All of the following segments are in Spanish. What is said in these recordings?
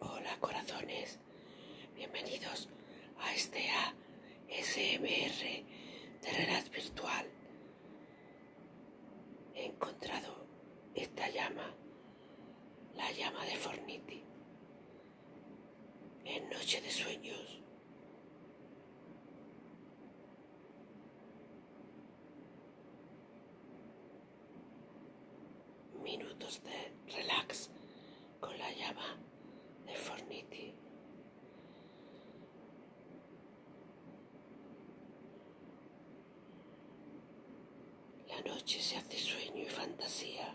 Hola corazones, bienvenidos a este ASMR de Virtual. He encontrado esta llama, la llama de Forniti, en Noche de Sueños minutos de relax con la llama de Forniti. La noche se hace sueño y fantasía.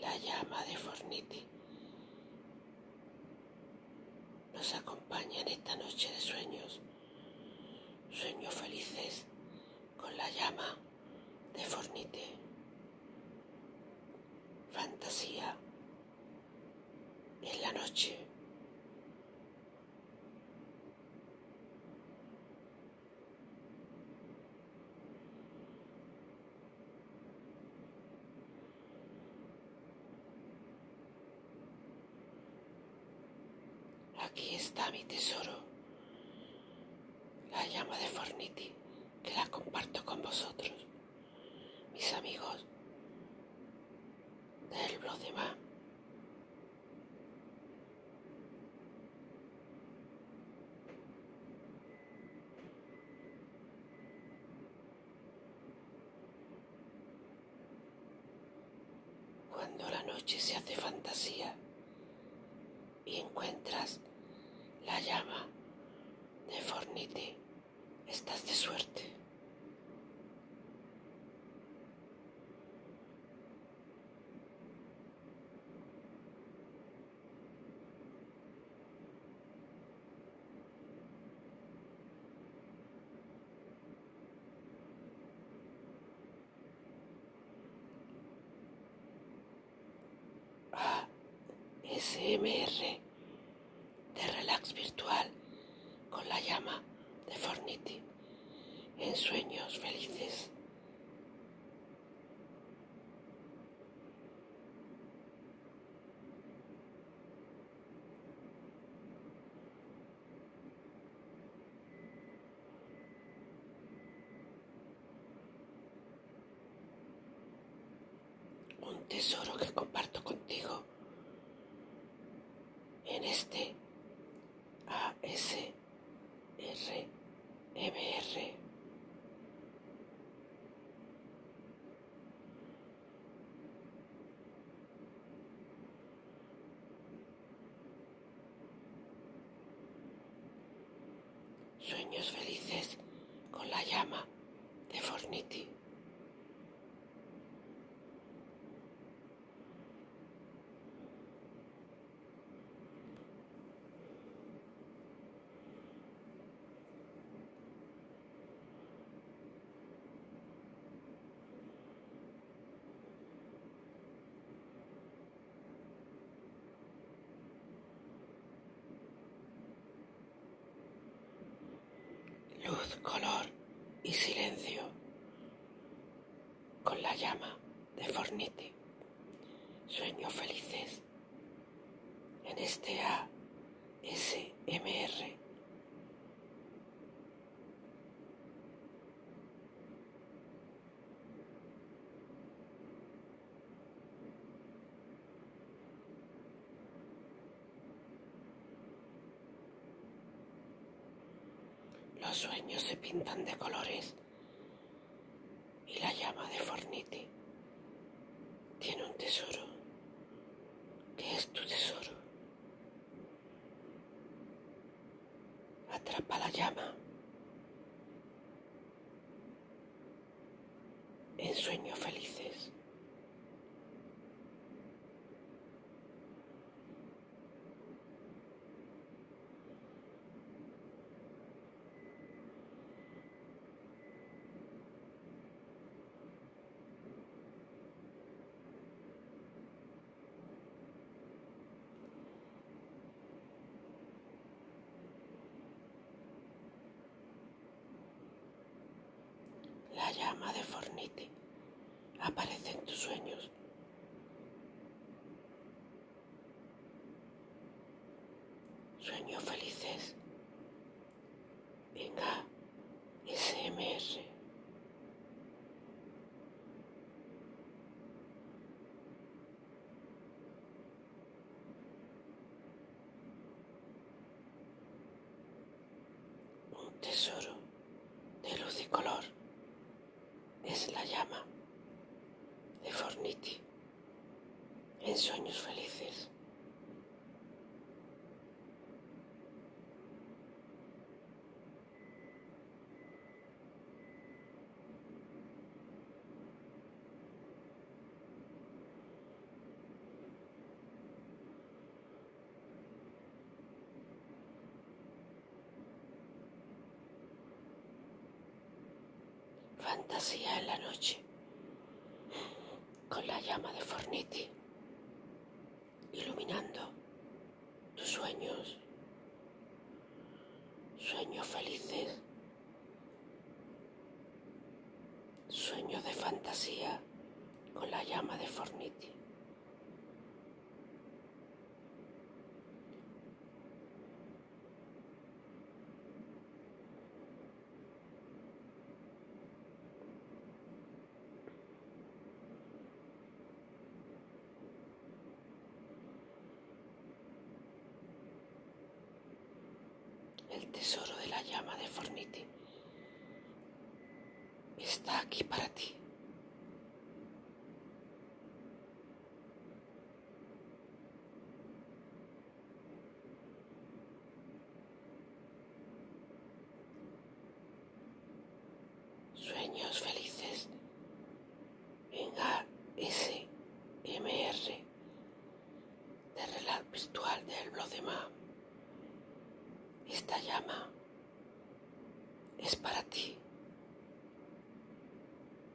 La llama de Fornite nos acompaña en esta noche de sueños, sueños felices con la llama de Fornite. Fantasía en la noche. Aquí está mi tesoro, la llama de Forniti, que la comparto con vosotros, mis amigos del blog cuando la noche se hace fantasía y encuentras la llama de Fornite, estás de suerte. Ah, SMR de relax virtual con la llama de Forniti en sueños felices un tesoro que comparto contigo en este ese. Sueños felices con la llama de Forniti luz, color y silencio con la llama de Forniti. Sueño felices en este ASMR. Los sueños se pintan de colores y la llama de Forniti tiene un tesoro que es tu tesoro. Atrapa la llama. En sueños felices. La llama de Forniti aparece en tus sueños Sueños felices. Venga, Un tesoro de luz y color es la llama de Forniti en sueños felices. Fantasía en la noche con la llama de Forniti iluminando tus sueños, sueños felices, sueños de fantasía con la llama de Forniti. El tesoro de la llama de Forniti está aquí para ti. Sueños felices en ASMR de Relato Virtual del Blodema. Esta llama es para ti.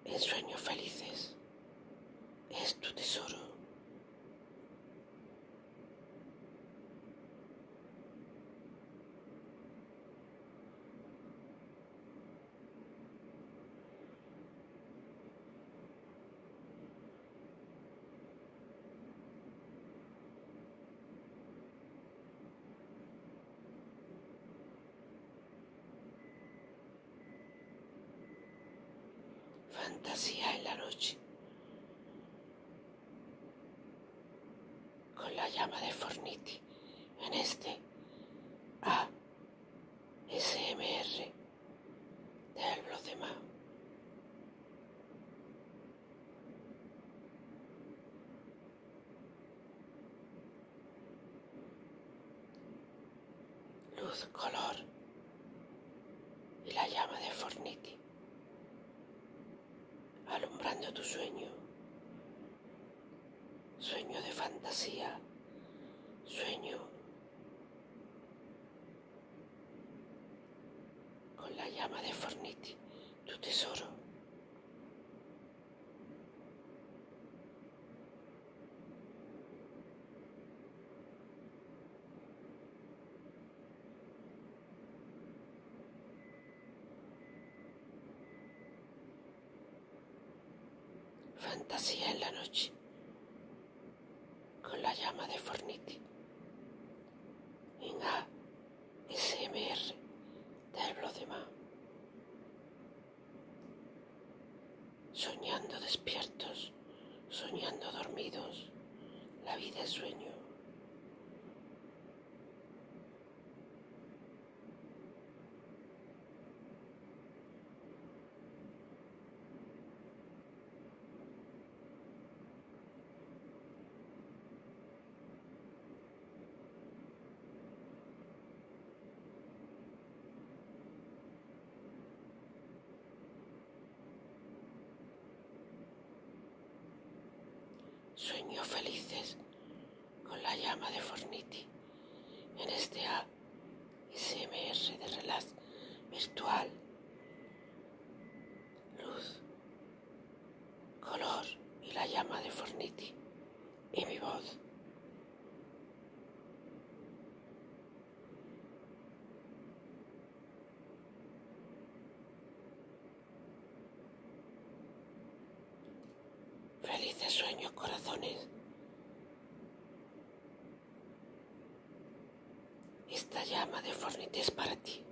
el sueño felices es tu tesoro. Fantasía en la noche. Con la llama de Forniti en este ASMR del R de Mao. Luz, color y la llama de Forniti, alumbrando tu sueño, sueño de fantasía, sueño con la llama de Forniti, tu tesoro. Fantasía en la noche, con la llama de Forniti, de Soñando despiertos, soñando dormidos, la vida es sueño. Sueño felices con la llama de Forniti en este A SMR de Relax virtual luz, color y la llama de Forniti y mi voz. Felices sueños, corazones. Esta llama de Fornite es para ti.